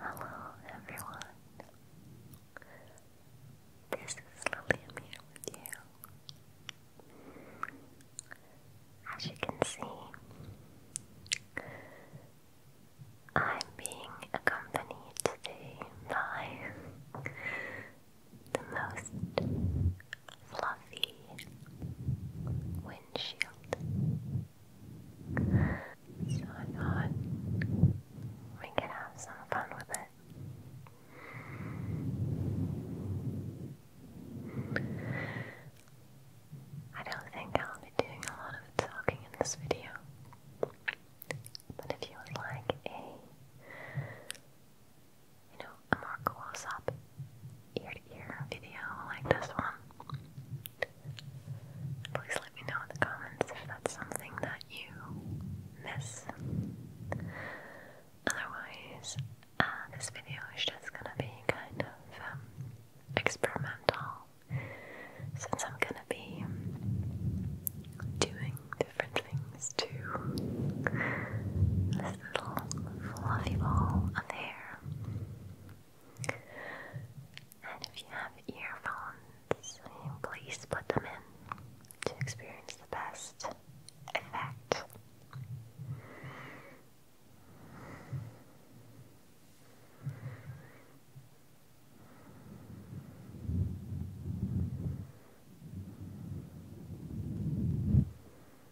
Hello everyone. This is Lillian here with you. As you can see, I'm being accompanied today by the most fluffy windshield so I we can have some fun with it. I don't think I'll be doing a lot of talking in this video, but if you would like a, you know, a more close-up ear to ear video like this one. Please let me know in the comments if that's something that you miss. Otherwise, uh, this video is just gonna be kind of um, experimental since I'm gonna be doing different things to this little fluffy ball of hair. And if you have earphones, please put them in to experience the best effect.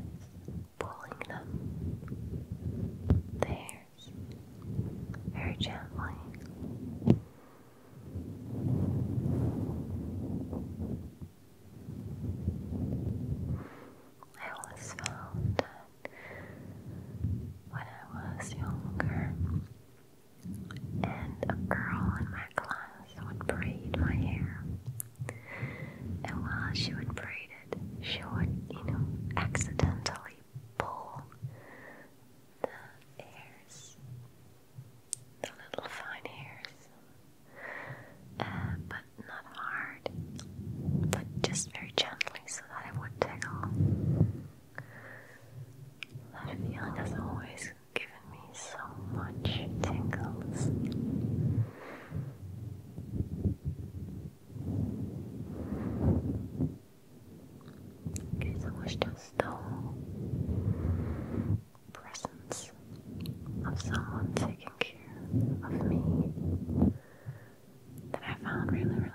It's pulling them there very gently. I always found that when I was younger and a girl in my class would braid my hair, and while she would braid it, she would, you know, accidentally pull the hairs, the little fine hairs, uh, but not hard, but just very gently so that it would tickle. That feeling has always given me so much tingles. Okay, so it's just the whole presence of someone taking care of me that I found really relaxing.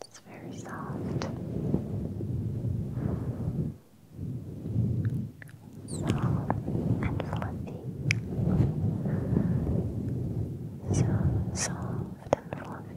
It's very soft. Soft and fluffy. So soft and fluffy.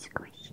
Squishy.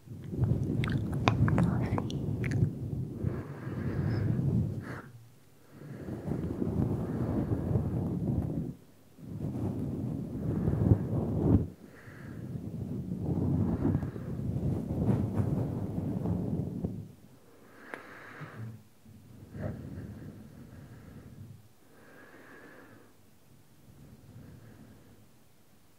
and coffee. Relax.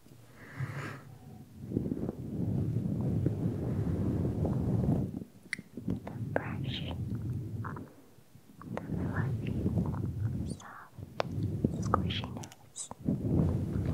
The brush, the fluffy, soft, squishiness. The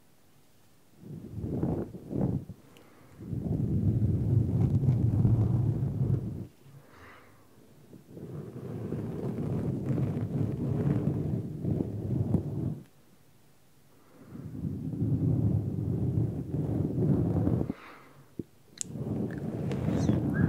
Slide. Slide.